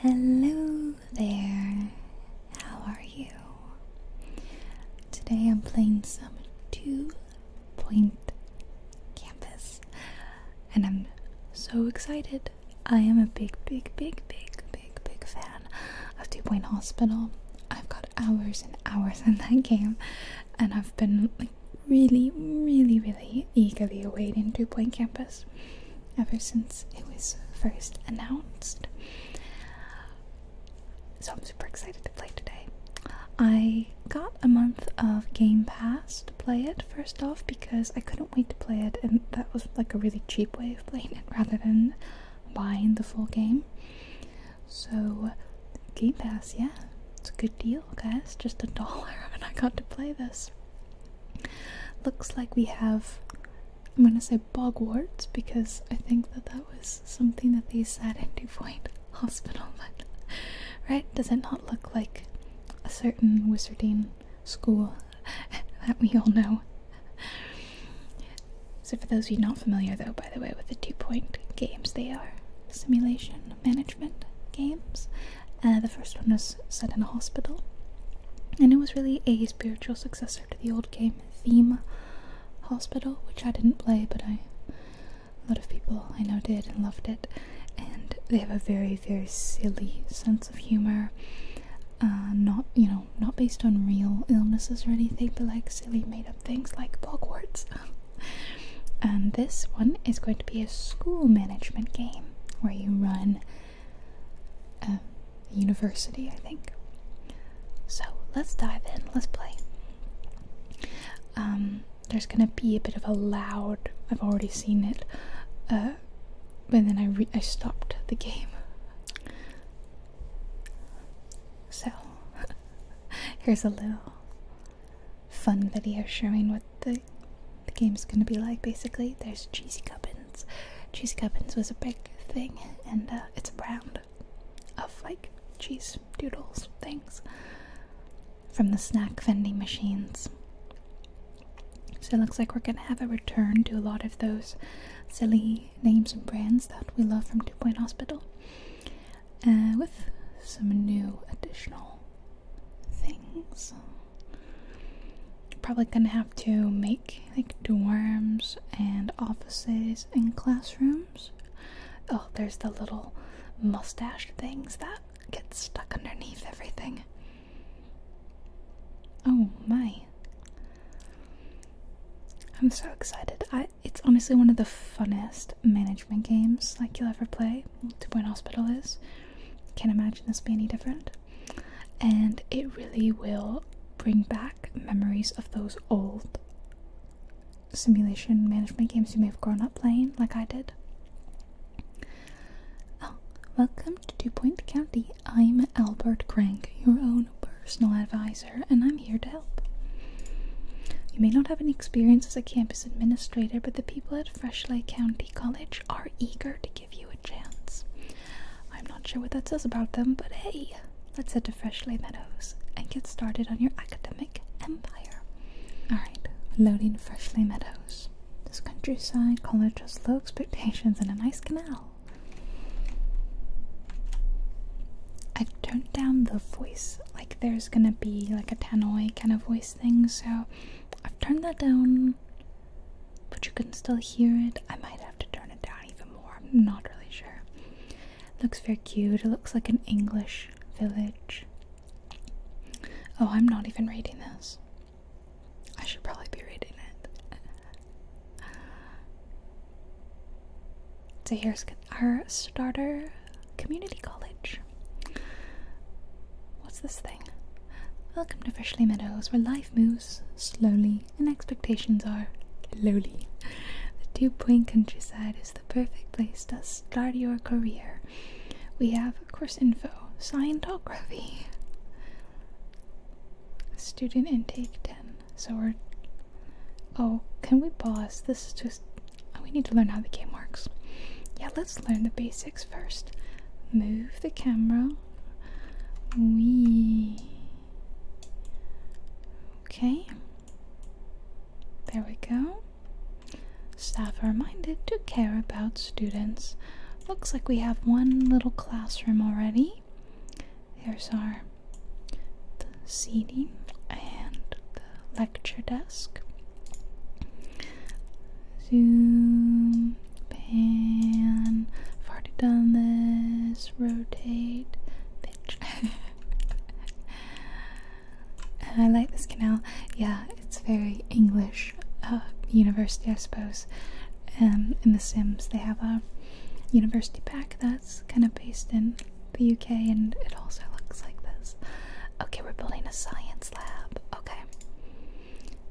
Hello there, how are you? Today I'm playing some two point campus and I'm so excited. I am a big, big, big, big, big, big fan of Two Point Hospital. I've got hours and hours in that game and I've been like really, really, really eagerly awaiting Two Point Campus ever since it was first announced. So I'm super excited to play today. I got a month of Game Pass to play it first off because I couldn't wait to play it, and that was like a really cheap way of playing it rather than buying the full game. So, Game Pass, yeah, it's a good deal, guys. Just a dollar, and I got to play this. Looks like we have, I'm gonna say bogwarts because I think that that was something that they said in DuPoint Hospital, right? Does it not look like a certain wizarding school that we all know? So, for those of you not familiar, though, by the way, with the two point games, they are simulation management games uh, the first one was set in a hospital, and it was really a spiritual successor to the old game Theme Hospital, which I didn't play, but a lot of people I know did and loved it. And they have a very very silly sense of humor, uh, not you know not based on real illnesses or anything, but like silly made up things like Hogwarts. and this one is going to be a school management game where you run uh, university, I think. So let's dive in. Let's play. Um, there's gonna be a bit of a loud. I've already seen it, but uh, then I I stopped the game. So here's a little fun video showing what the the game's gonna be like basically. There's cheesy gubbins. Cheesy gubbins was a big thing, and uh, it's a brand of like cheese doodles things from the snack vending machines. So it looks like we're gonna have a return to a lot of those silly names and brands that we love from Two Point Hospital, uh, with some new additional things. Probably gonna have to make like dorms and offices and classrooms. Oh, there's the little mustache things that get stuck underneath everything. Oh my. I'm so excited. it's honestly one of the funnest management games like you'll ever play. Two Point Hospital is. Can't imagine this be any different. And it really will bring back memories of those old simulation management games you may have grown up playing, like I did. Oh, welcome to DuPont County. I'm Albert Crank, your own personal advisor, and I'm here to help. You may not have any experience as a campus administrator, but the people at Fresh Lake County College are eager to give you a chance. I'm not sure what that says about them, but hey, let's head to Freshley Meadows and get started on your academic empire. Alright, loading Freshley Meadows. This countryside college has low expectations and a nice canal. I've turned down the voice, like there's gonna be like a tannoy kind of voice thing, so I've turned that down but you can still hear it. I might have to turn it down even more. I'm not really sure. Looks very cute. It looks like an English village. Oh, I'm not even reading this. I should probably be reading it. so here's our starter community college. What's this thing? Welcome to Freshly Meadows, where life moves slowly and expectations are lowly. The 2 Point countryside is the perfect place to start your career. We have of course info, Scientography, student intake 10. So we're. Oh, can we pause? This is just. We need to learn how the game works. Yeah, let's learn the basics first move the camera. We okay. There we go. Staff are minded to care about students. Looks like we have one little classroom already. Here's our seating and the lecture desk. Zoom, pan, I've already done this, rotate, pitch. I like this canal. Yeah, it's very English uh, university, I suppose. Um, in The Sims, they have a university pack that's kind of based in the UK, and it also looks like this. Okay, we're building a science lab. Okay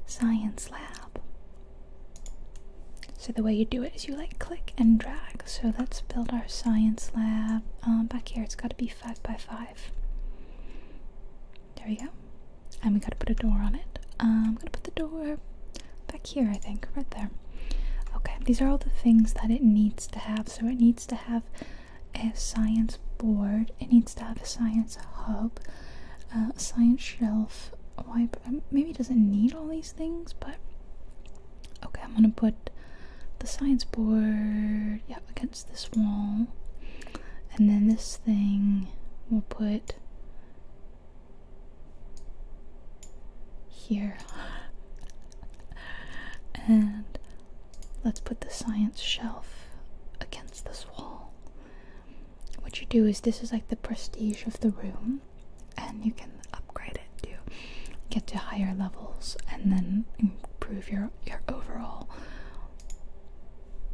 science lab. So the way you do it is you like click and drag. So let's build our science lab. Um, back here, it's got to be five by five. There we go. And we got to put a door on it. I'm um, gonna put the door back here, I think, right there. Okay, these are all the things that it needs to have. So it needs to have a science board. It needs to have a science hub science shelf um, Maybe it doesn't need all these things, but okay, I'm gonna put the science board yeah, against this wall, and then this thing we'll put here. and let's put the science shelf against this wall what you do is this is like the prestige of the room, and you can upgrade it to get to higher levels and then improve your your overall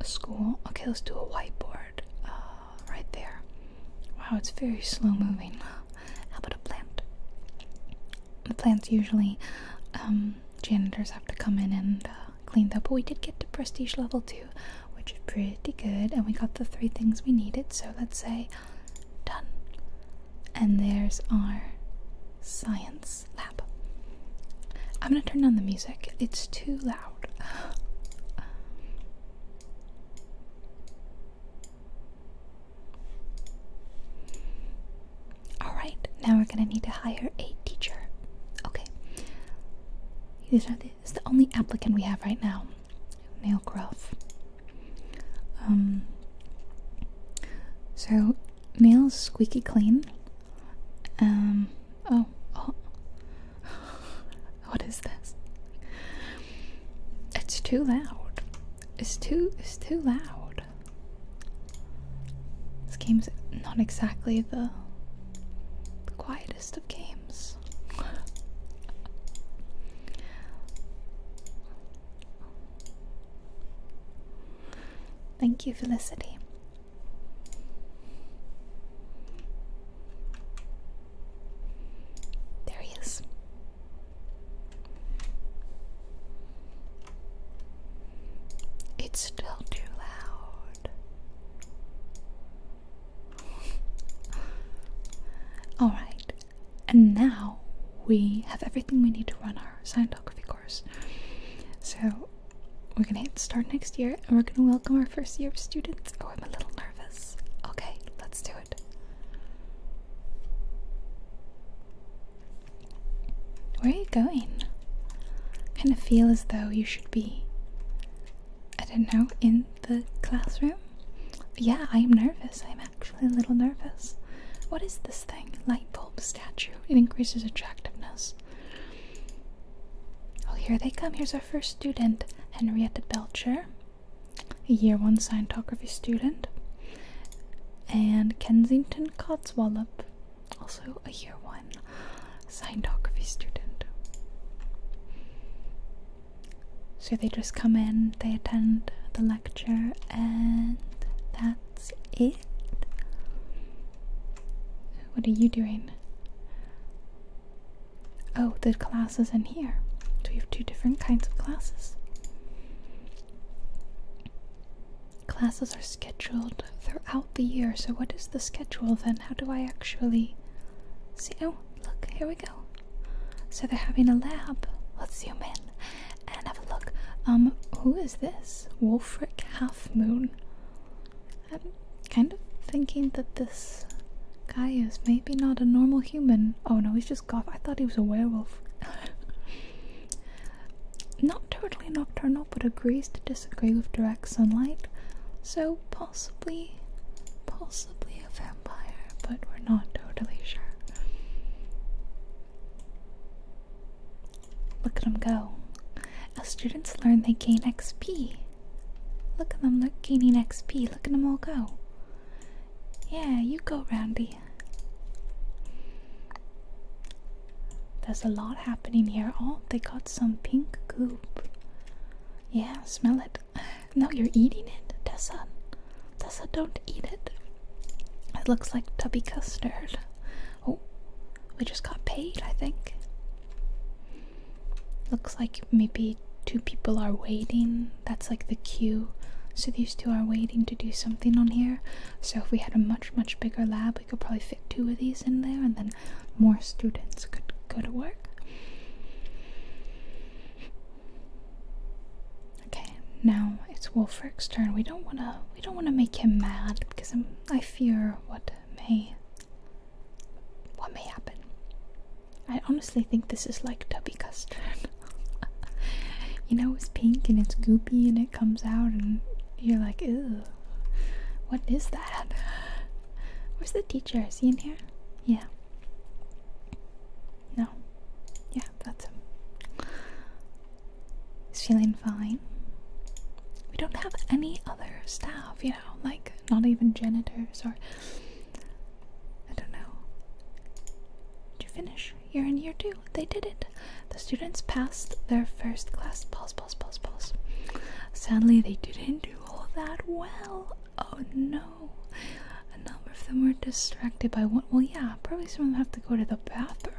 school. Okay, let's do a whiteboard uh, right there. Wow, it's very slow moving. How about a plant? The plants usually um, janitors have to come in and uh, cleaned up. But we did get to prestige level 2, which is pretty good. And we got the three things we needed. So let's say done. And there's our science lab. I'm going to turn down the music, it's too loud. Alright, now we're going to need to hire a teacher. Okay, this is the only applicant we have right now. Nail Gruff. Um, so, nails squeaky clean. Um, oh. oh. what is this? It's too loud. It's too, it's too loud. This game's not exactly the quietest of games. Thank you, Felicity. There he is. It's still too loud. Alright, and now we have everything we need to run our Scientography course. So we're gonna hit start next year and we're gonna welcome our first year of students. Oh, I'm a little nervous. Okay, let's do it. Where are you going? kind of feel as though you should be, I don't know, in the classroom? Yeah, I'm nervous. I'm actually a little nervous. What is this thing? Light bulb statue. It increases attractiveness. Oh, here they come. Here's our first student, Henrietta Belcher, a year one Scientography student, and Kensington Codswallop, also a year one signography student. So they just come in, they attend the lecture, and that's it. What are you doing? Oh, the class is in here. Do we have two different kinds of classes. Classes are scheduled throughout the year. So, what is the schedule then? How do I actually see? Oh, look, here we go. So, they're having a lab. Let's zoom in and have a look. Um, who is this? Wolfric Half Moon. I'm kind of thinking that this guy is maybe not a normal human. Oh no, he's just goth. I thought he was a werewolf. not totally nocturnal, now, but agrees to disagree with direct sunlight. So possibly, possibly a vampire, but we're not totally sure. Look at them go. As students learn, they gain XP. Look at them, look gaining XP. Look at them all go. Yeah, you go, Randy. There's a lot happening here. Oh, they got some pink goop. Yeah, smell it. No, you're eating it, Tessa. Tessa, don't eat it. It looks like tubby custard. Oh, we just got paid, I think. Looks like maybe two people are waiting. That's like the queue. So these two are waiting to do something on here. So if we had a much, much bigger lab, could probably fit two of these in there, and then more students could go to work. Okay, now it's Wolfric's turn. We don't wanna we don't wanna make him mad because i I fear what may what may happen. I honestly think this is like Tubby Custard. you know, it's pink and it's goopy and it comes out and you're like, ooh, what is that? Where's the teacher? Is he in here? Yeah. No. Yeah, that's him. He's feeling fine. We don't have any other staff, you know, like not even janitors or. I don't know. Did you finish? You're in year two. They did it. The students passed their first class pos pause, pause, pause. Sadly, they didn't do all that well. Oh no. A number of them were distracted by what? Well, yeah, probably some of them have to go to the bathroom.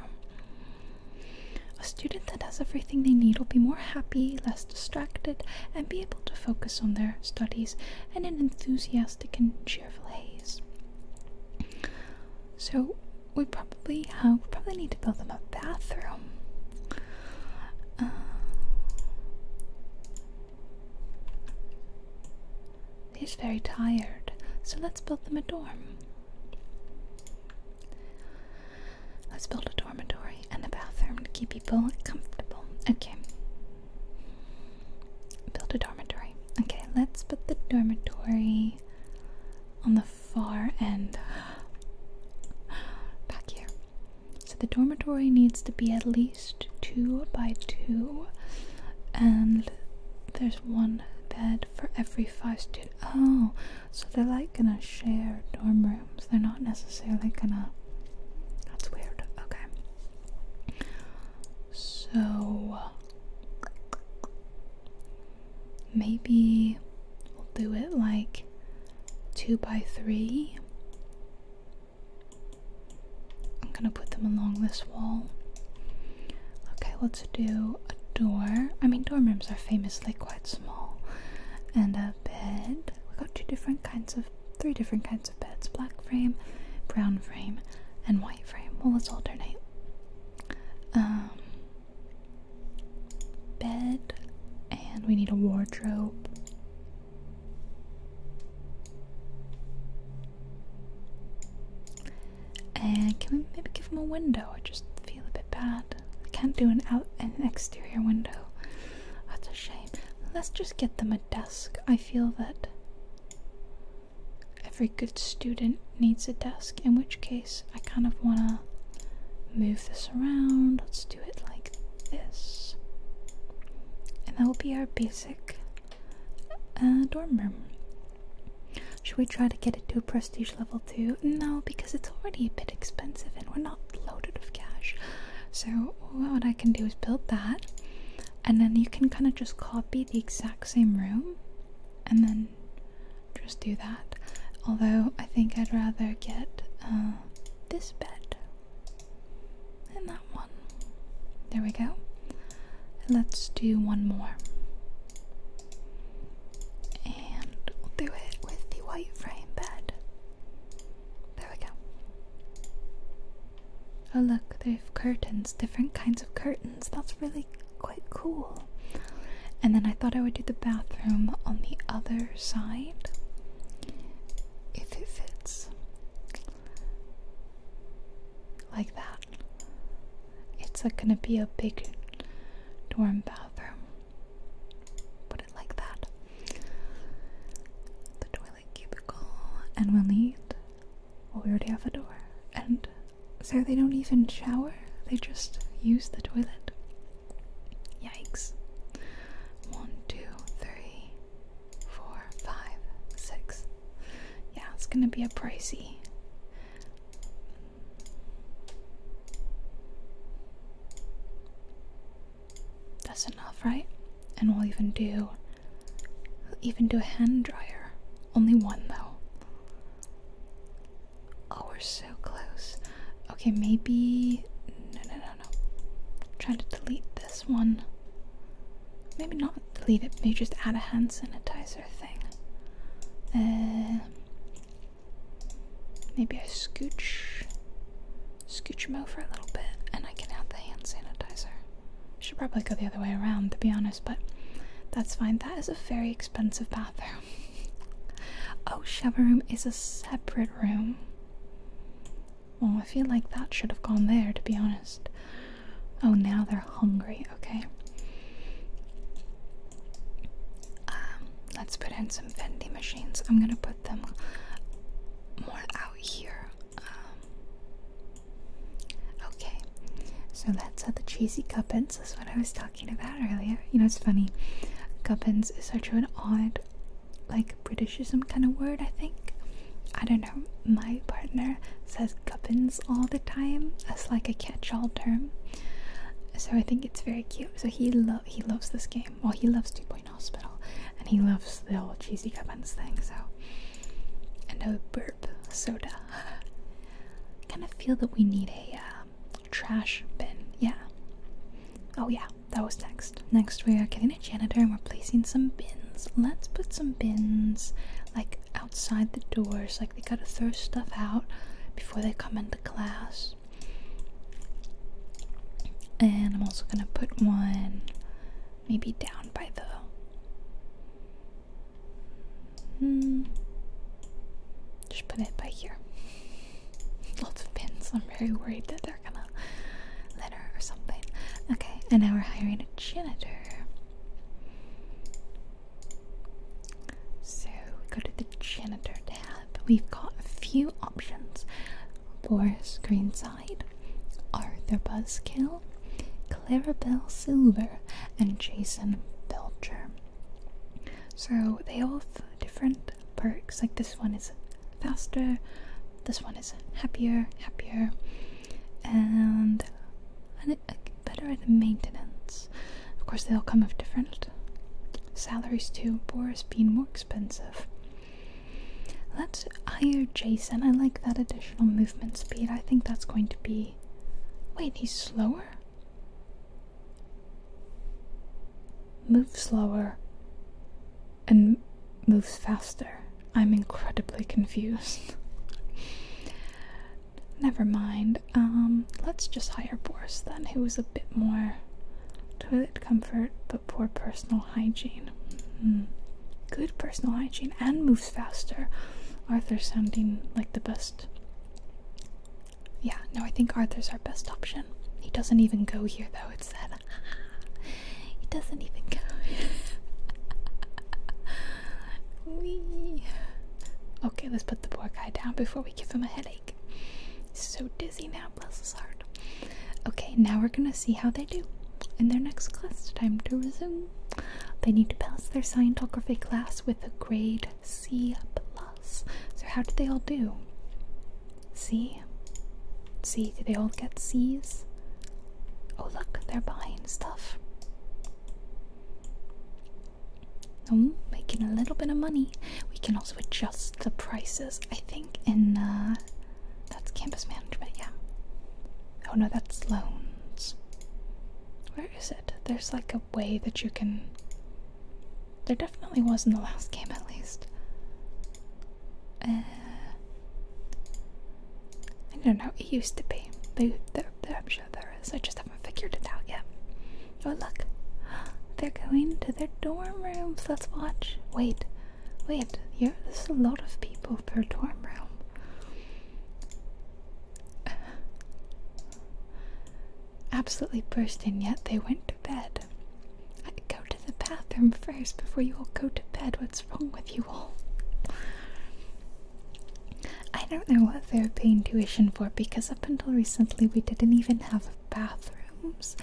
A student that has everything they need will be more happy, less distracted, and be able to focus on their studies in an enthusiastic and cheerful haze. So, we probably have uh, probably need to build them a bathroom. Uh, he's very tired, so let's build them a dorm. Let's build a dormitory and a bathroom to keep people comfortable. Okay. Build a dormitory. Okay, let's put the dormitory on the far end. Back here. So the dormitory needs to be at least two by two, and there's one bed for every five students. Oh, so they're like gonna share dorm rooms. They're not necessarily gonna. That's weird. Okay. So Maybe we'll do it like two by three. I'm gonna put them along this wall. Okay, let's do a door. I mean, dorm rooms are famously quite small. And a bed. We got two different kinds of, three different kinds of beds black frame, brown frame, and white frame. Well, let's alternate. Um, bed and we need a wardrobe. And can we maybe give them a window? I just feel a bit bad. I can't do an out an exterior window. That's a shame. Let's just get them a desk. I feel that every good student needs a desk, in which case I kind of want to move this around. Let's do it like this. And that will be our basic uh, dorm room. Should we try to get it to a prestige level too? No, because it's already a bit expensive and we're not loaded with cash. So, what I can do is build that, and then you can kind of just copy the exact same room and then just do that. Although I think I'd rather get uh, this bed and that one. There we go. And let's do one more. And we'll do it with the white frame bed. There we go. Oh, look, they have curtains, different kinds of curtains. That's really quite cool. And then I thought I would do the bathroom on the other side if it fits. Like that. It's gonna be a big dorm bathroom. Put it like that. The toilet cubicle, and we'll need. Well, we already have a door. And so they don't even shower, they just use the toilet. Yikes. One, two, three, four, five, six. Yeah, it's gonna be a pricey. That's enough, right? And we'll even do we'll even do a hand dryer. Only one though. Oh, we're so close. Okay, maybe. No, no, no, no. Trying to delete this one. Maybe not delete it, maybe just add a hand sanitizer thing. Uh, maybe I scooch. Scooch them over a little bit, and I can add the hand sanitizer. should probably go the other way around, to be honest, but that's fine. That is a very expensive bathroom oh, shower room is a separate room. Well, I feel like that should have gone there, to be honest. Oh, now they're hungry, okay. Um, let's put in some vending machines. I'm gonna put them more out here. Um, okay, so let's how the cheesy cup ends. That's what I was talking about earlier. You know, it's funny. Gubbins is such an odd, like, Britishism kind of word, I think. I don't know. My partner says gubbins all the time as, like, a catch all term. So I think it's very cute. So he, lo he loves this game. Well, he loves Two Point Hospital. And he loves the old cheesy gubbins thing, so. And a burp soda. kind of feel that we need a. Um, trash bin. Yeah. Oh yeah, that was next. Next we are getting a janitor and we're placing some bins. Let's put some bins like outside the doors. Like they gotta throw stuff out before they come into class. And I'm also gonna put one maybe down by the Hmm. Just put it by here. Lots of pins. I'm very worried that they're gonna let her or something. Okay, and now we're hiring a janitor. So we go to the janitor tab. We've got a few options for Greenside, Arthur Buzzkill, Clarabelle Silver, and Jason Belcher. So they all different perks. Like this one is faster, this one is happier, happier, and better at maintenance. Of course, they all come with different salaries too. Boris being more expensive. Let's hire Jason. I like that additional movement speed. I think that's going to be. Wait, he's slower? moves slower and moves faster. I'm incredibly confused. Never mind. Um, let's just hire Boris then, who is a bit more toilet comfort but poor personal hygiene. Hmm. Good personal hygiene and moves faster. Arthur sounding like the best yeah, no, I think Arthur's our best option. He doesn't even go here though, it said. he doesn't even go Wee. Okay, let's put the poor guy down before we give him a headache. He's so dizzy now, bless his heart. Okay, now we're gonna see how they do in their next class. Time to resume. They need to pass their Scientography class with a grade C. Plus. So how did they all do? C? C? Did they all get C's? Oh look, they're buying stuff. Um, making a little bit of money. We can also adjust the prices, I think, in uh that's campus management, yeah. Oh no, that's loans. Where is it? There's like a way that you can there definitely was in the last game, at least. Uh, I don't know. It used to be. They, I'm sure there is. I just haven't figured it out yet. Oh look, they're going to their dorm rooms. Let's watch. Wait, wait. Yeah, there's a lot of people per dorm room. absolutely burst, bursting, yet they went to bed. I go to the bathroom first before you all go to bed. What's wrong with you all? I don't know what they're paying tuition for because up until recently we didn't even have bathrooms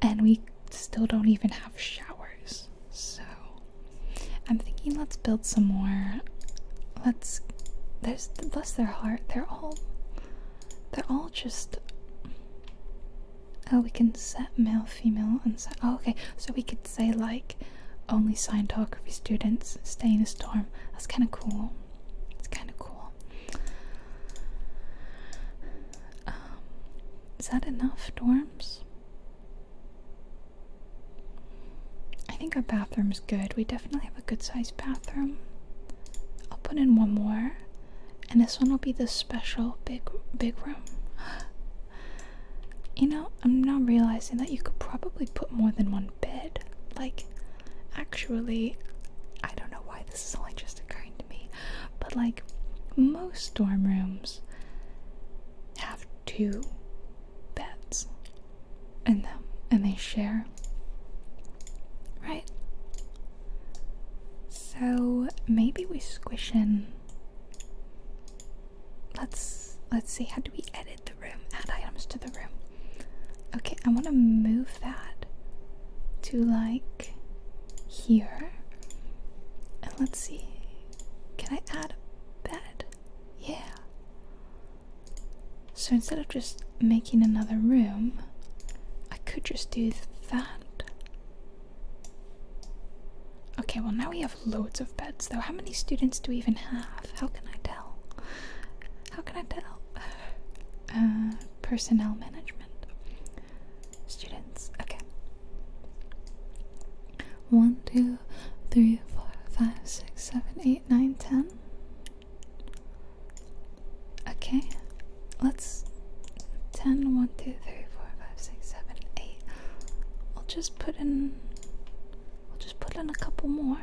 and we still don't even have showers. So I'm thinking let's build some more. Let's. There's. Bless their heart. They're all they're all just. Oh, we can set male, female, and set. Oh, okay. So we could say, like, only Scientography students stay in the storm. That's kind of cool. It's kind of cool. Um, is that enough dorms? I think our bathroom's good. We definitely have a good sized bathroom. I'll put in one more, and this one will be the special big big room. you know, I'm now realizing that you could probably put more than one bed. Like, actually, I don't know why this is only just occurring to me, but like most dorm rooms have two beds in them and they share Right. So maybe we squish in. Let's let's see. How do we edit the room? Add items to the room. Okay, I want to move that to like here. And let's see. Can I add a bed? Yeah. So instead of just making another room, I could just do that. Okay, well, now we have loads of beds, though. How many students do we even have? How can I tell? How can I tell? Uh, personnel management. Students, okay. One, two, three, four, five, six, seven, eight, nine, ten. Okay, let's 10, 1, 2, 3, 4, 5, 6, 7, 8. We'll just put in i will just put in a couple more.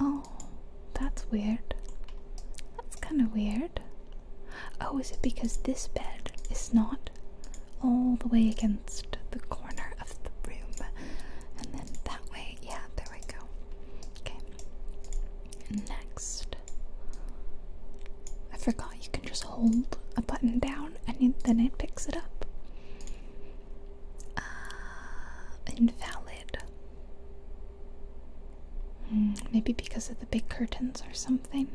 Oh, that's weird. That's kind of weird. Oh, is it because this bed is not all the way against the corner of the room? And then that way, yeah, there we go. Okay. Next. I forgot you can just hold a button down and then it picks it up. Uh, invalid. Hmm, maybe because of the big curtains or something.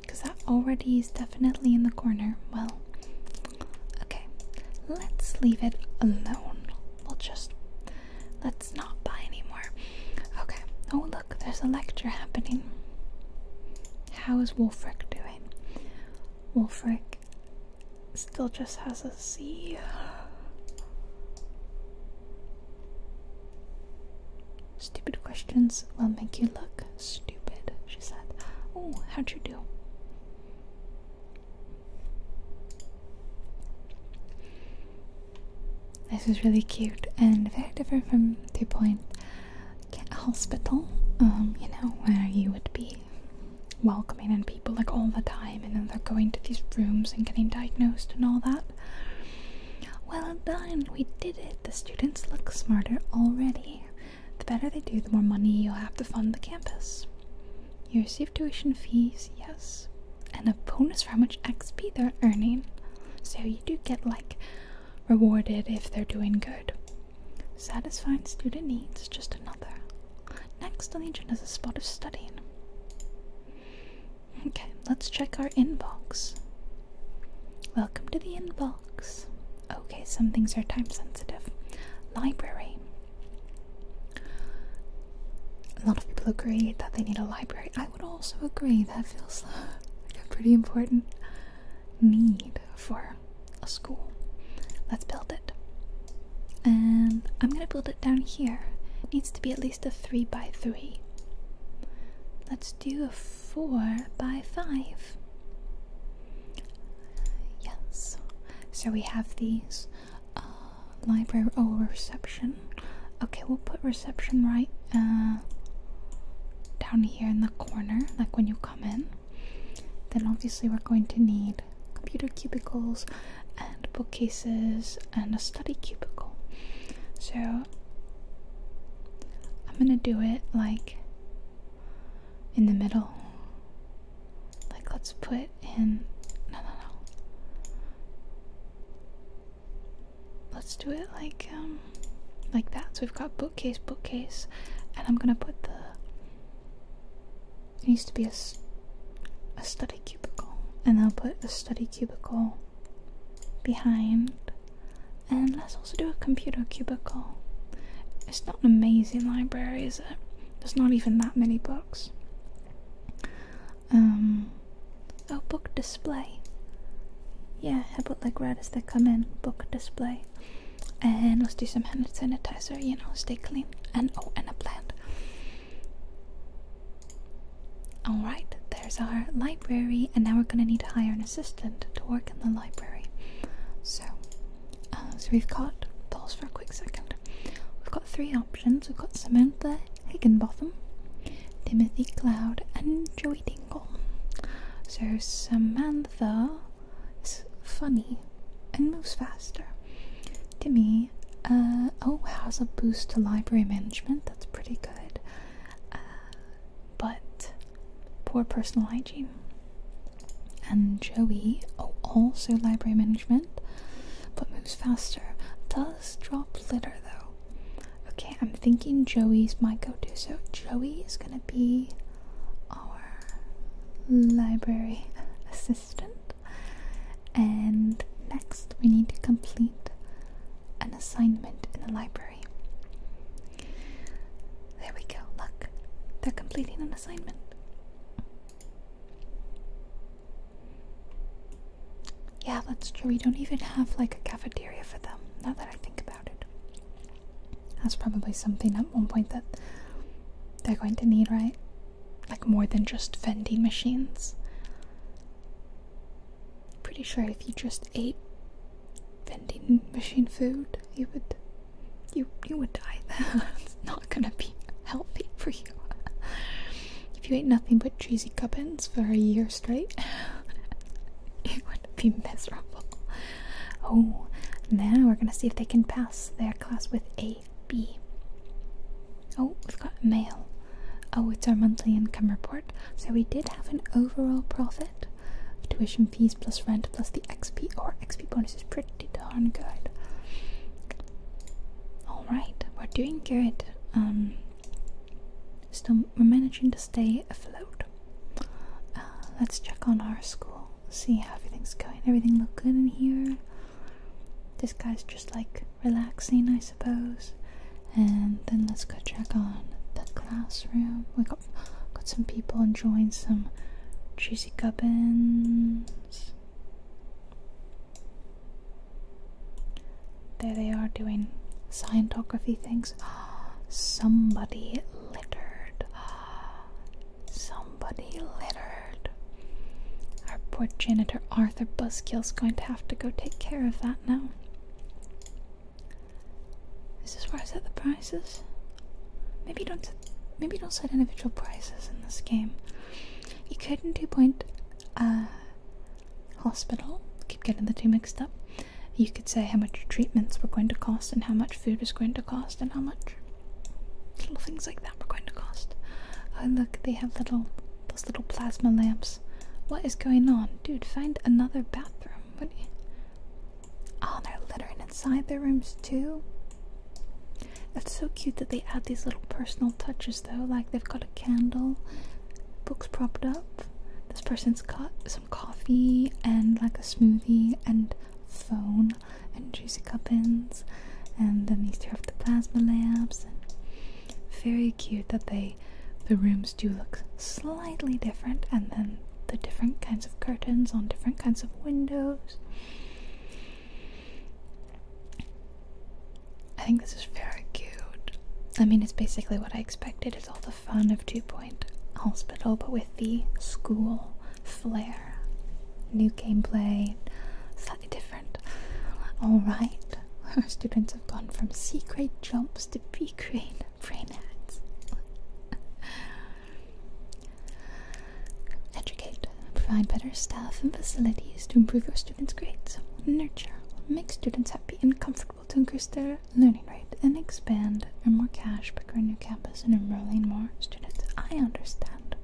Because that already is definitely in the corner. Well, okay. Let's leave it alone. We'll just. Let's not buy anymore. Okay. Oh, look, there's a lecture happening. How is Wolfric doing? Wolfric still just has a C. Stupid questions will make you look stupid, she said. Oh, how'd you do? This is really cute and very different from Two Point Hospital, um, you know, where you would be welcoming and people like all the time and then they're going to these rooms and getting diagnosed and all that. Well done, we did it. The students look smarter already. The better they do, the more money you'll have to fund the campus. You receive tuition fees, yes, and a bonus for how much XP they're earning. So you do get like rewarded if they're doing good. Satisfying student needs, just another. Next on the agenda is a spot of studying. Okay, let's check our inbox. Welcome to the inbox. Okay, some things are time sensitive. Library. A lot of people agree that they need a library. I would also agree that feels like a pretty important need for a school. Let's build it. And I'm gonna build it down here. It needs to be at least a 3 by 3. Let's do a 4 by 5. Yes. So we have these uh, library or oh, reception. Okay, we'll put reception right uh, down here in the corner, like when you come in. Then obviously we're going to need computer cubicles, and bookcases and a study cubicle. So I'm gonna do it like in the middle. Like, let's put in. No, no, no. Let's do it like, um, like that. So we've got bookcase, bookcase, and I'm gonna put the. It needs to be a, a study cubicle, and I'll put a study cubicle behind. And let's also do a computer cubicle. It's not an amazing library, is it? There's not even that many books. Um, oh, book display. Yeah, how about like right as they come in, book display. And let's do some hand sanitizer, you know, stay clean. And oh, and a plant. Alright, there's our library, and now we're going to need to hire an assistant to work in the library. So, uh, so we've got, pause for a quick second, we've got three options. We've got Samantha Higginbotham, Timothy Cloud, and Joey Dingle. So Samantha is funny and moves faster. Timmy uh, oh, has a boost to library management. That's pretty good. Uh, but poor personal hygiene. And Joey, oh, also library management, but moves faster. Does drop litter though. Okay, I'm thinking Joey's my go to. So Joey is gonna be our library assistant. And next, we need to complete an assignment in the library. There we go, look, they're completing an assignment. Yeah, that's true. We don't even have like a cafeteria for them, now that I think about it. That's probably something at one point that they're going to need, right? Like more than just vending machines. Pretty sure if you just ate vending machine food, you would you you would die. it's not gonna be healthy for you. if you ate nothing but cheesy cubbins for a year straight, you would be miserable. Oh, now we're gonna see if they can pass their class with A B. Oh, we've got mail. Oh, it's our monthly income report. So we did have an overall profit of tuition fees plus rent plus the XP or oh, XP bonus is pretty darn good. Alright, we're doing good. Um still we're managing to stay afloat. Uh, let's check on our school, see how everything's going. Everything look good in here. This guy's just like relaxing, I suppose. And then let's go check on the classroom. We got got some people enjoying some cheesy gubbins. There they are doing scientography things. Somebody littered. Somebody littered. Our poor janitor Arthur is going to have have to go take care of that now. This Is where I set the prices? Maybe you don't. Maybe don't set individual prices in this game. You could in Two Point uh, Hospital. Keep getting the two mixed up. You could say how much treatments were going to cost, and how much food was going to cost, and how much little things like that were going to cost. Oh, look, they have little those little plasma lamps. What is going on? Dude, find another bathroom. What Oh, they're littering inside the rooms too. It's so cute that they add these little personal touches though, like they've got a candle, books propped up. This person's got some coffee and like a smoothie and phone and juicy cup ends. And then these two have the plasma lamps and very cute that they the rooms do look slightly different and then the different kinds of curtains on different kinds of windows. I think this is very cute. I mean, it's basically what I expected. It's all the fun of Two Point Hospital, but with the school flair. New gameplay, slightly different. Alright, our students have gone from C grade jumps to B grade brain hacks. Educate, provide better staff and facilities to improve your students' grades. Nurture, make students happy and comfortable to increase their learning rate and expand, earn more cash, by growing new campus, and enrolling more students. I understand.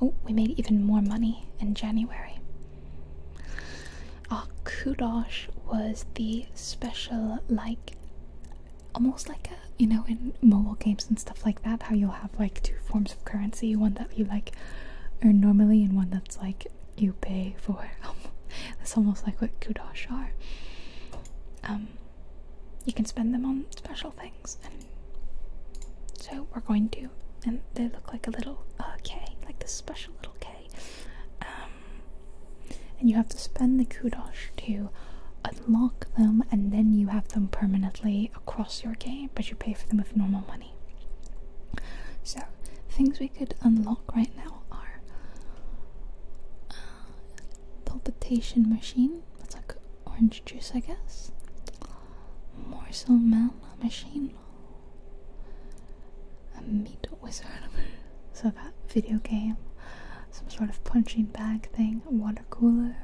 Oh, we made even more money in January. Our kudosh was the special, like, almost like a, you know, in mobile games and stuff like that, how you'll have like two forms of currency one that you like earn normally and one that's like you pay for. that's almost like what kudosh are. Um, you can spend them on special things so we're going to and they look like a little uh, K like this special little K um, and you have to spend the kudos to unlock them and then you have them permanently across your game but you pay for them with normal money so things we could unlock right now are uh, palpitation machine that's like orange juice I guess morsel man machine a meat wizard so that video game some sort of punching bag thing water cooler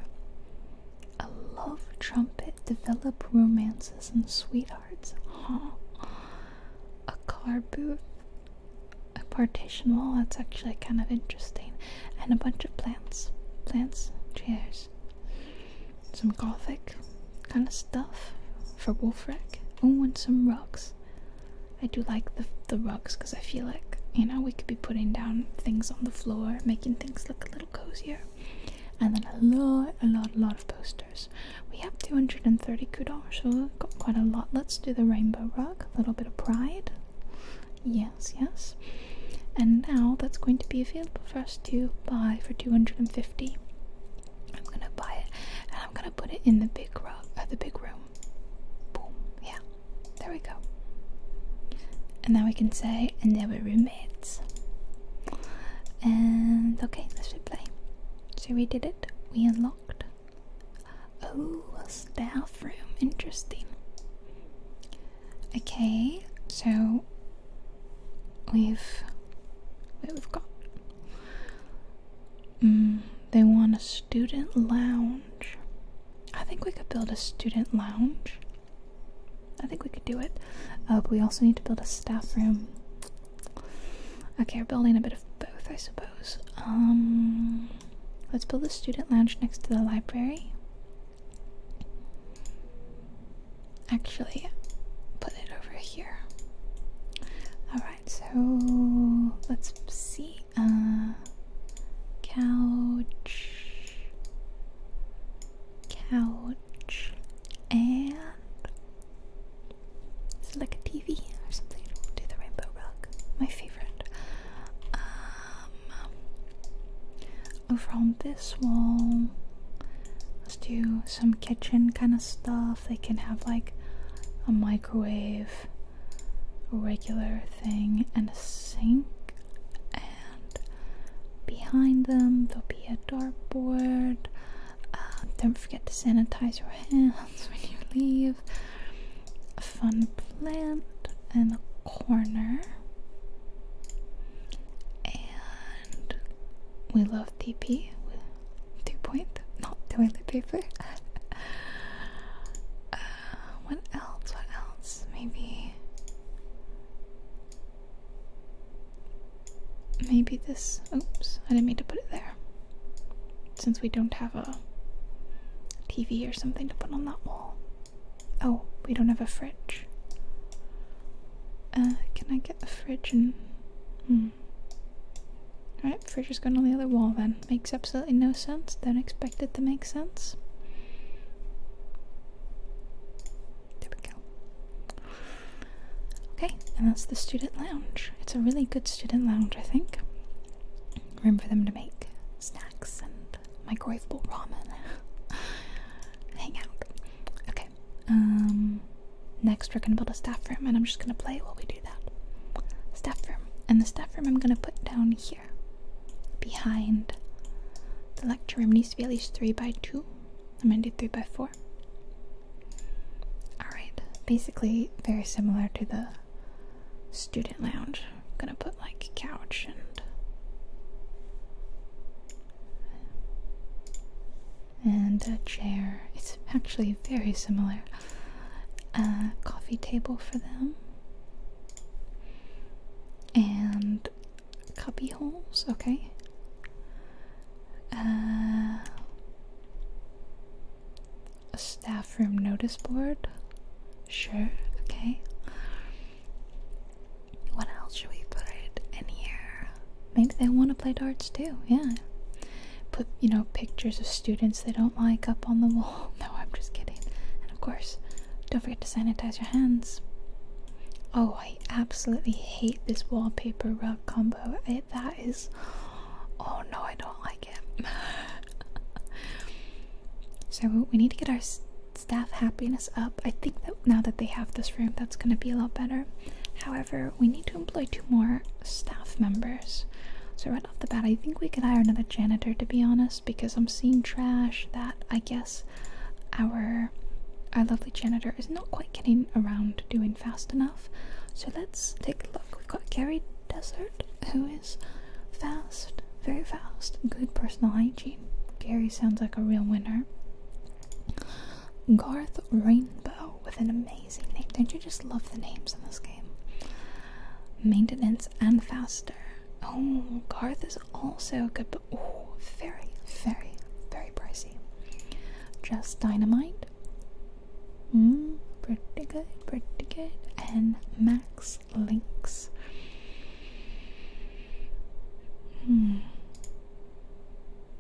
a love trumpet develop romances and sweethearts huh a car booth a partition wall that's actually kind of interesting and a bunch of plants plants chairs some gothic kind of stuff for Wolfrek. Oh, and some rugs. I do like the the rugs because I feel like you know we could be putting down things on the floor, making things look a little cozier. And then a lot, a lot, a lot of posters. We have 230 kudos, so got quite a lot. Let's do the rainbow rug. A little bit of pride. Yes, yes and now that's going to be available for us to buy for 250 i'm gonna buy it and i'm gonna put it in uh, the big room boom yeah there we go and now we can say and they were roommates and okay let's replay so we did it we unlocked oh staff room interesting okay so we've we've got mm, they want a student lounge i think we could build a student lounge i think we could do it uh, but we also need to build a staff room okay we're building a bit of both i suppose um, let's build a student lounge next to the library Actually, put it over here. Alright, so let's see. Uh, couch, couch, and is like a TV or something? do the rainbow rug, my favorite. Um, Oh, from this wall, let's do some kitchen kind of stuff. They can have like a microwave, a regular thing, and a sink. And behind them, there'll be a dartboard. Uh, don't forget to sanitize your hands when you leave. A fun plant in the corner. And we love TP, two point, not toilet paper. Uh, what else? What else? Maybe. Maybe this. Oops, I didn't mean to put it there. Since we don't have a TV or something to put on that wall. Oh, we don't have a fridge. Uh, can I get the fridge and. Hmm. right? fridge is going on the other wall then. Makes absolutely no sense. Don't expect it to make sense. There we go. Okay, and that's the student lounge. It's a really good student lounge, I think. Room for them to make snacks and my microwavable ramen. Hang out. Okay. Um. Next, we're gonna build a staff room, and I'm just gonna play while we do that. Staff room, and the staff room I'm gonna put down here, behind. The lecture room needs to be at least three by two. I'm gonna do three by four. Alright, basically very similar to the student lounge. I'm gonna put like couch and and a chair. It's actually very similar. A coffee table for them. And cubby holes, okay. Uh, a staff room notice board. Sure, okay. What else should we put in here? Maybe they want to play darts too, yeah. Put, you know, pictures of students they don't like up on the wall. No, I'm just kidding. And of course, don't forget to sanitize your hands. Oh, I absolutely hate this wallpaper rug combo. Eh, that is. Oh no, I don't like it. so we need to get our staff happiness up. I think that now that they have this room, that's going to be a lot better. However, we need to employ two more staff members. So, right off the bat, I think we could hire another janitor to be honest, because I'm seeing trash that I guess our our lovely janitor is not quite getting around doing fast enough. So let's take a look. We've got Gary Desert, who is fast, very fast, good personal hygiene. Gary sounds like a real winner. Garth Rainbow with an amazing name. Don't you just love the names in this game? Maintenance and Faster. Oh, Garth is also good, but oh, very, very, very pricey. Just Dynamite. Mm, pretty good, pretty good. And Max Links. Hmm.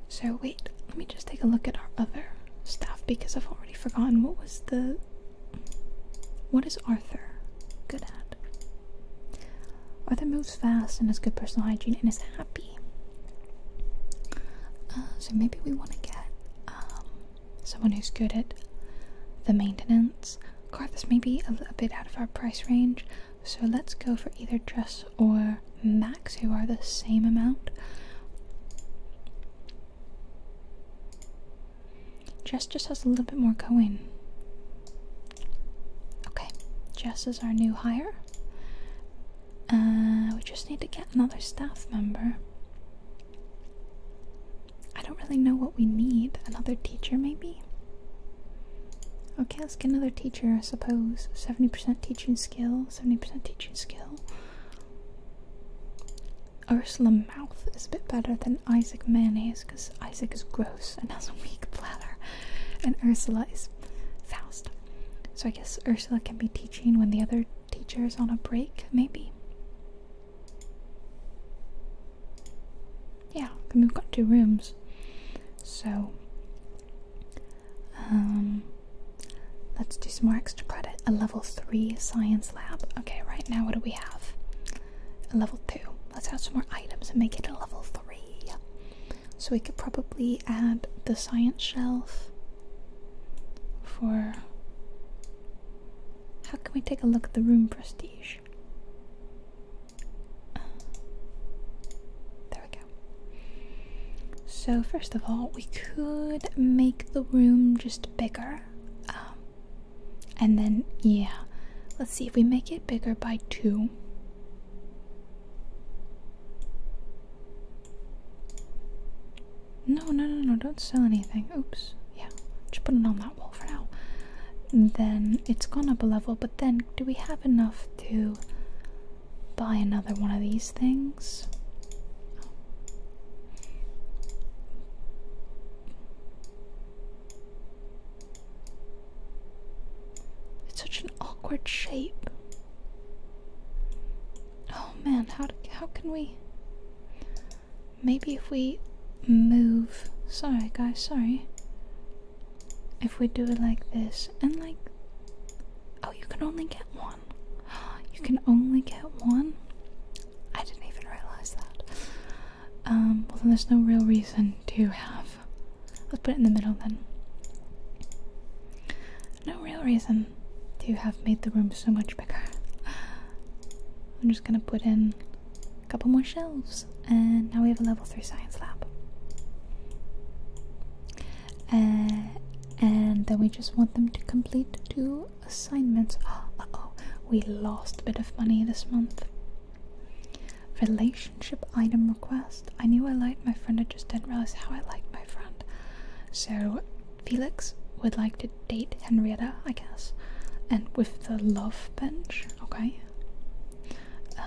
So wait, let me just take a look at our other staff because I've already forgotten what was the what is Arthur good at? Arthur moves fast and has good personal hygiene and is happy. Uh, so maybe we want to get um, someone who's good at the maintenance. Carthus may be a, a bit out of our price range, so let's go for either Jess or Max, who are the same amount. Jess just has a little bit more coin. Okay, Jess is our new hire. Uh, we just need to get another staff member. I don't really know what we need. Another teacher, maybe? Okay, let's get another teacher, I suppose. 70% teaching skill, 70% teaching skill. Ursula Mouth is a bit better than Isaac Mayonnaise because Isaac is gross and has a weak bladder, and Ursula is fast. So I guess Ursula can be teaching when the other teacher is on a break, maybe yeah, we've got two rooms. So, um, let's do some more extra credit. A level 3 science lab. Okay, right now, what do we have? A level 2. Let's add some more items and make it a level 3. So, we could probably add the science shelf for. How can we take a look at the room prestige? there we go. So, first of all, we could make the room just bigger. Um, and then, yeah, let's see if we make it bigger by two. No, no, no, no, don't sell anything. Oops. Yeah, just put it on that wall for now then it's gone up a level. But then, do we have enough to buy another one of these things? It's such an awkward shape. Oh man, how how can we? Maybe if we move. Sorry, guys. Sorry if we do it like this and like oh you can only get one you can only get one i didn't even realize that um well then there's no real reason to have let's put it in the middle then no real reason to have made the room so much bigger i'm just gonna put in a couple more shelves and now we have a level 3 science lab. Uh, and then we just want them to complete two assignments. oh, we lost a bit of money this month. Relationship item request. I knew I liked my friend, I just didn't realize how I liked my friend. So, Felix would like to date Henrietta, I guess, and with the love bench, okay?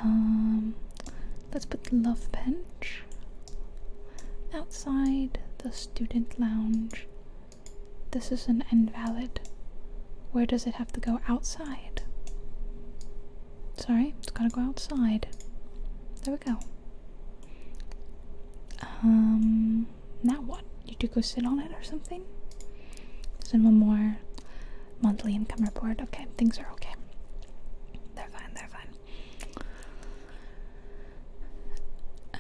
Um, let's put love bench outside the student lounge. This is an invalid. Where does it have to go outside? Sorry, it's gotta go outside. There we go. Um, now what? You do go sit on it or something? There's one more monthly income report. Okay, things are okay. They're fine, they're fine. Uh,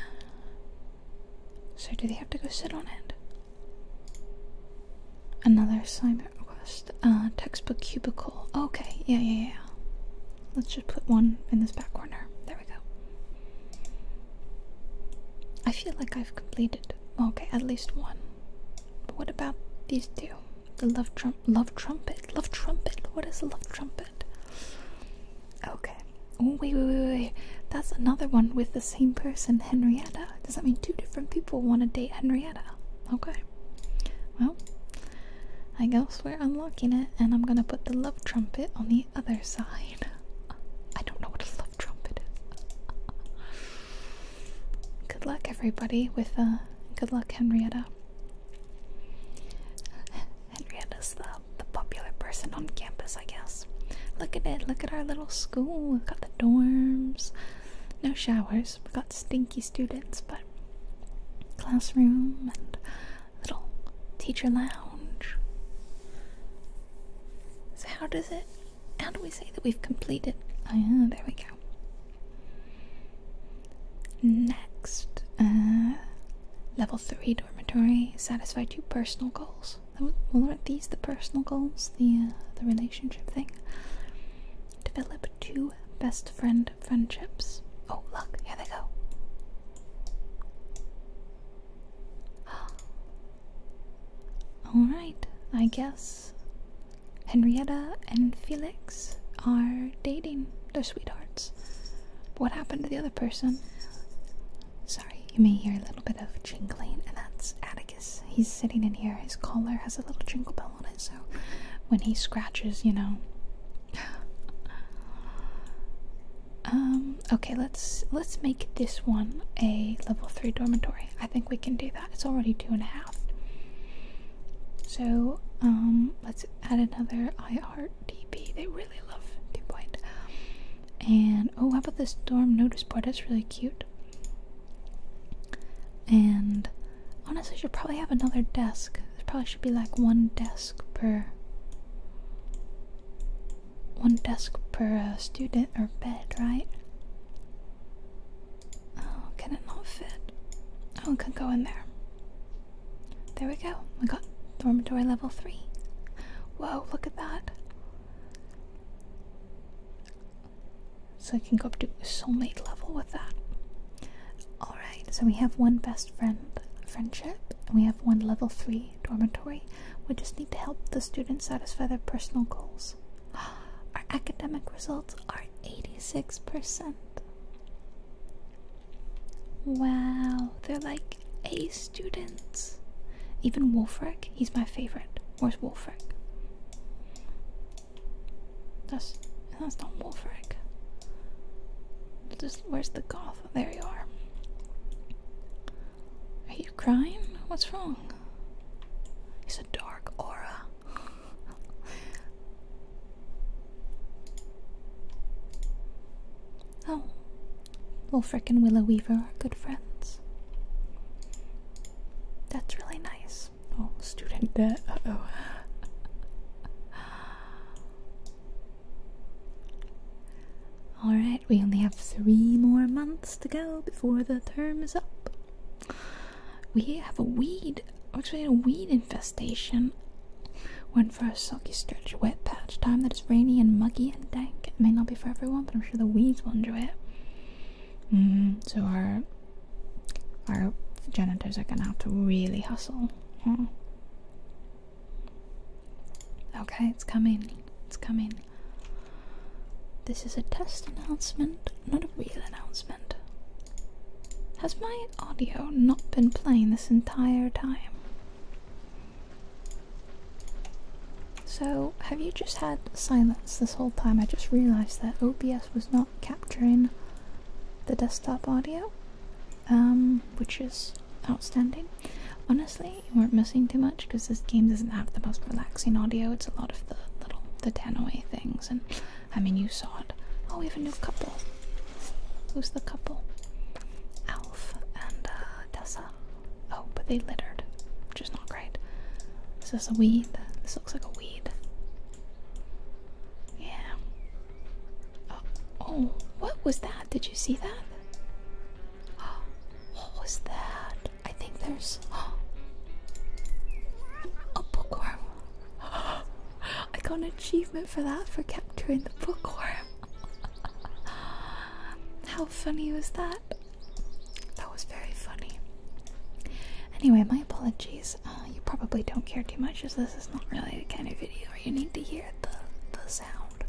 so, do they have to go sit on it? Another assignment request. A uh, textbook cubicle. Okay, yeah, yeah, yeah. Let's just put one in this back corner. There we go. I feel like I've completed, okay, at least one. But What about these two? The love trump, love trumpet, love trumpet. What is a love trumpet? Okay. wait, wait, wait, wait. That's another one with the same person, Henrietta. Does that mean two different people want to date Henrietta? Okay. Well, I guess we're unlocking it, and I'm gonna put the love trumpet on the other side. I don't know what a love trumpet Good luck, everybody, with uh, good luck, Henrietta. Henrietta's the, the popular person on campus, I guess. Look at it, look at our little school. We've got the dorms, no showers, we've got stinky students, but classroom and little teacher lounge. So, how does it how do we say that we've completed? Oh, there we go. Next, uh, level 3 dormitory. Satisfy two personal goals. aren't these the personal goals? The, uh, the relationship thing? Develop two best friend friendships. Oh, look, here they go. Alright, I guess Henrietta and Felix are dating. They're sweethearts. what happened to the other person? Sorry, you may hear a little bit of jingling, and that's Atticus. He's sitting in here. His collar has a little jingle bell on it, so when he scratches, you know. Um, okay. Let's let's make this one a level three dormitory. I think we can do that. It's already two and a half. So um, let's add another IRTP. They really love two point. And oh, how about this storm notice board? That's really cute. And honestly, should probably have another desk. There probably should be like one desk per one desk per uh, student or bed, right? Oh, can it not fit? Oh, it could go in there. There we go. We got dormitory level 3. Whoa, look at that. So I can go up to soulmate level with that. Alright, so we have one best friend friendship, and we have one level 3 dormitory. We just need to help the students satisfy their personal goals. Our academic results are 86%. Wow, they're like A students. Even Wolfric, he's my favorite. Where's Wolfric? That's that's not Wolfric. where's the goth? There you are. Are you crying? What's wrong? It's a dark aura. oh, Wolfric and Willow Weaver are good friends. That's really nice. Oh, student debt. Uh oh. Alright, we only have three more months to go before the term is up. We have a weed, actually a weed infestation. When for a sulky, stretchy, wet patch time that is rainy and muggy and dank, it may not be for everyone, but I'm sure the weeds will enjoy it. Mm-hmm. so our our janitors are gonna have to really hustle. Hmm. Okay, it's coming. It's coming. This is a test announcement, not a real announcement. Has my audio not been playing this entire time? So, have you just had silence this whole time? I just realized that OBS was not capturing the desktop audio, um, which is outstanding. Honestly, you weren't missing too much because this game doesn't have the most relaxing audio. It's a lot of the little the tannoy thing and I mean, you saw it. Oh, we have a new couple. Who's the couple? Alf and uh, Tessa. Oh, but they littered, which is not great. This Is a weed? This looks like a weed. Yeah. Oh, oh what was that? Did you see that? What was that? I think there's a bookworm. I got an achievement for that for capturing the bookworm. How funny was that? That was very funny. Anyway, my apologies. Uh, you probably don't care too much as this is not really the kind of video where you need to hear the, the sound,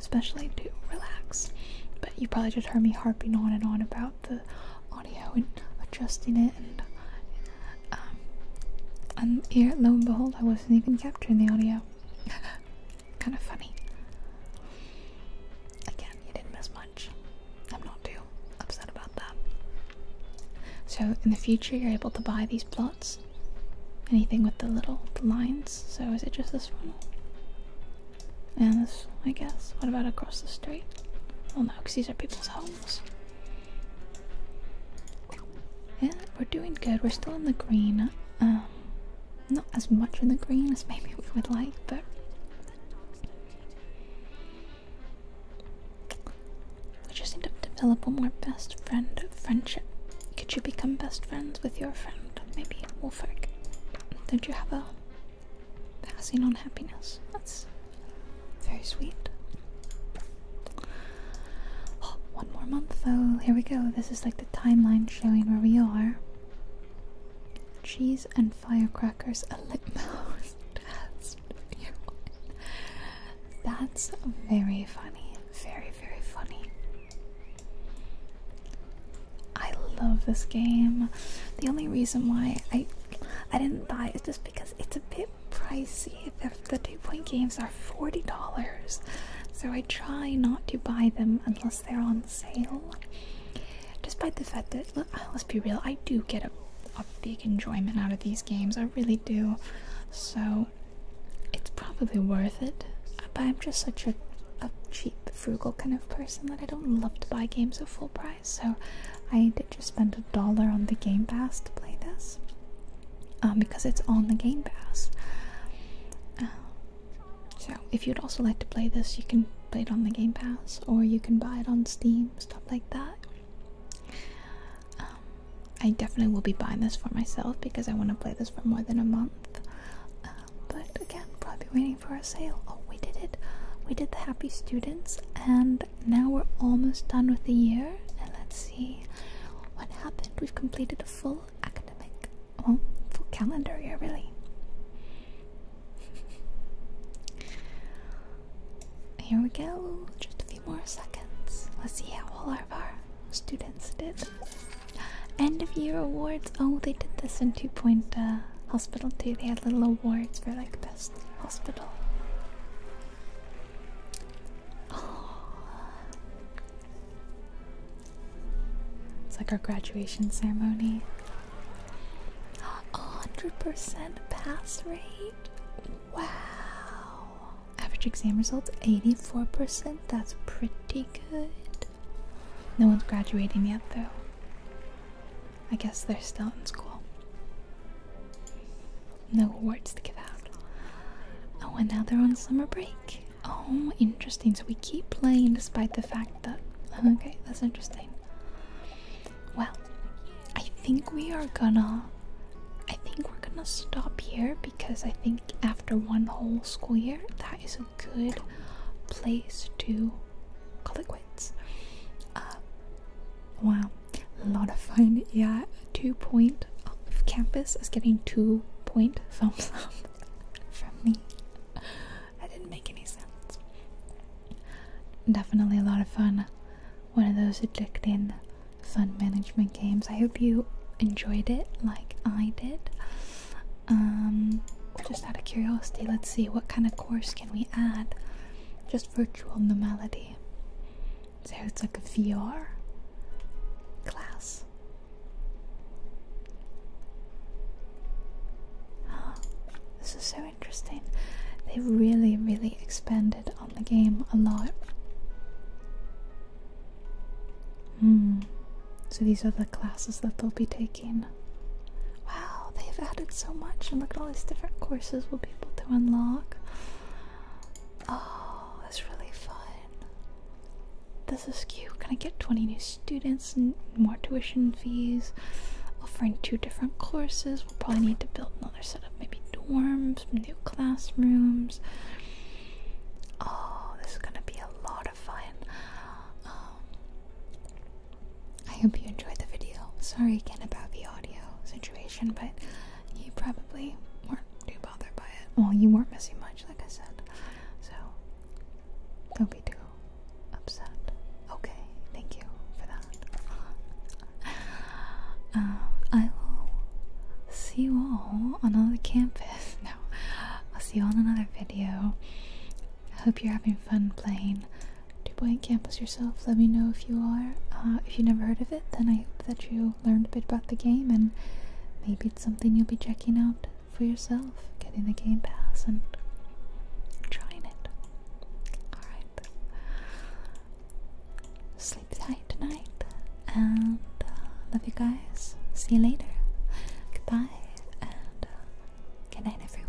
especially to relax. But you probably just heard me harping on and on about the audio and adjusting it um, and here lo and behold I wasn't even capturing the audio. kind of funny. Again, you didn't miss much. I'm not too upset about that. So in the future you're able to buy these plots. Anything with the little lines, so is it just this one? And I guess. What about across the street? Well, no, because these are people's homes. Yeah, we're doing good. We're still in the green. Um, not as much in the green as maybe we would like, but we just need to develop a more best friend friendship. Could you become best friends with your friend? Maybe Wolfric. Don't you have a passing on happiness. That's very sweet. Oh, one more month though. Here we go. This is like the timeline showing where we are. Cheese and firecrackers, a lip mouse That's very funny. Very, very funny. I love this game. The only reason why I I didn't buy it just because it's a bit pricey. The, the two point games are $40, so I try not to buy them unless they're on sale. Despite the fact that, uh, let's be real, I do get a, big enjoyment out of these games, I really do. So it's probably worth it, but I'm just such a cheap, frugal kind of person that I don't love to buy games at full price. So I did just spend a dollar on the Game Pass to play this um, because it's on the Game Pass. Uh, so if you'd also like to play this, you can play it on the Game Pass or you can buy it on Steam, stuff like that. Um, I definitely will be buying this for myself because I want to play this for more than a month. Uh, but again, i waiting for a sale. Oh, we did it. We did the happy students, and now we're almost done with the year. And let's see what happened. We've completed a full academic, well, full calendar year, really. Here we go. Just a few more seconds. Let's see how all of our students did. End of year awards. Oh, they did this in Two Point uh, Hospital too. They had little awards for like best Hospital. It's like our graduation ceremony. 100% pass rate? Wow. Average exam results 84%. That's pretty good. No one's graduating yet, though. I guess they're still in school. No awards to give out. Oh, and now they're on summer break. Oh, interesting. So we keep playing despite the fact that. Okay, that's interesting. Well, I think we are gonna. I think we're gonna stop here because I think after one whole school year, that is a good place to call it quits. Uh, wow, a lot of fun. Yeah, two point off campus is getting two point thumbs up from me. That didn't make any sense. Definitely a lot of fun. One of those addicting fun management games. I hope you enjoyed it like I did. Um, just out of curiosity, let's see what kind of course can we add just virtual normality. So it's like a VR class. Ah, this is so interesting. They really, really expanded on the game a lot. Hmm. So these are the classes that they'll be taking. Wow, they've added so much, and look at all these different courses we'll be able to unlock. Oh, that's really fun. This is cute. Can I get 20 new students and more tuition fees? Offering two different courses. We'll probably need to build another set of maybe dorms, new classrooms. Oh, this is gonna be a lot of fun. Um, I hope you enjoyed the video. Sorry again about the audio situation, but you probably weren't too bothered by it. Well, you weren't missing much, like I said. So, don't be too upset. Okay, thank you for that. um, I will see you all on another campus. No, I'll see you all in another video. I hope you're having fun playing DuPont campus yourself. Let me know if you are. Uh, if you never heard of it, then I hope that you learned a bit about the game and maybe it's something you'll be checking out for yourself, getting the Game Pass and trying it. Alright. Sleep tight tonight and uh, love you guys. See you later. Goodbye and uh, good night, everyone.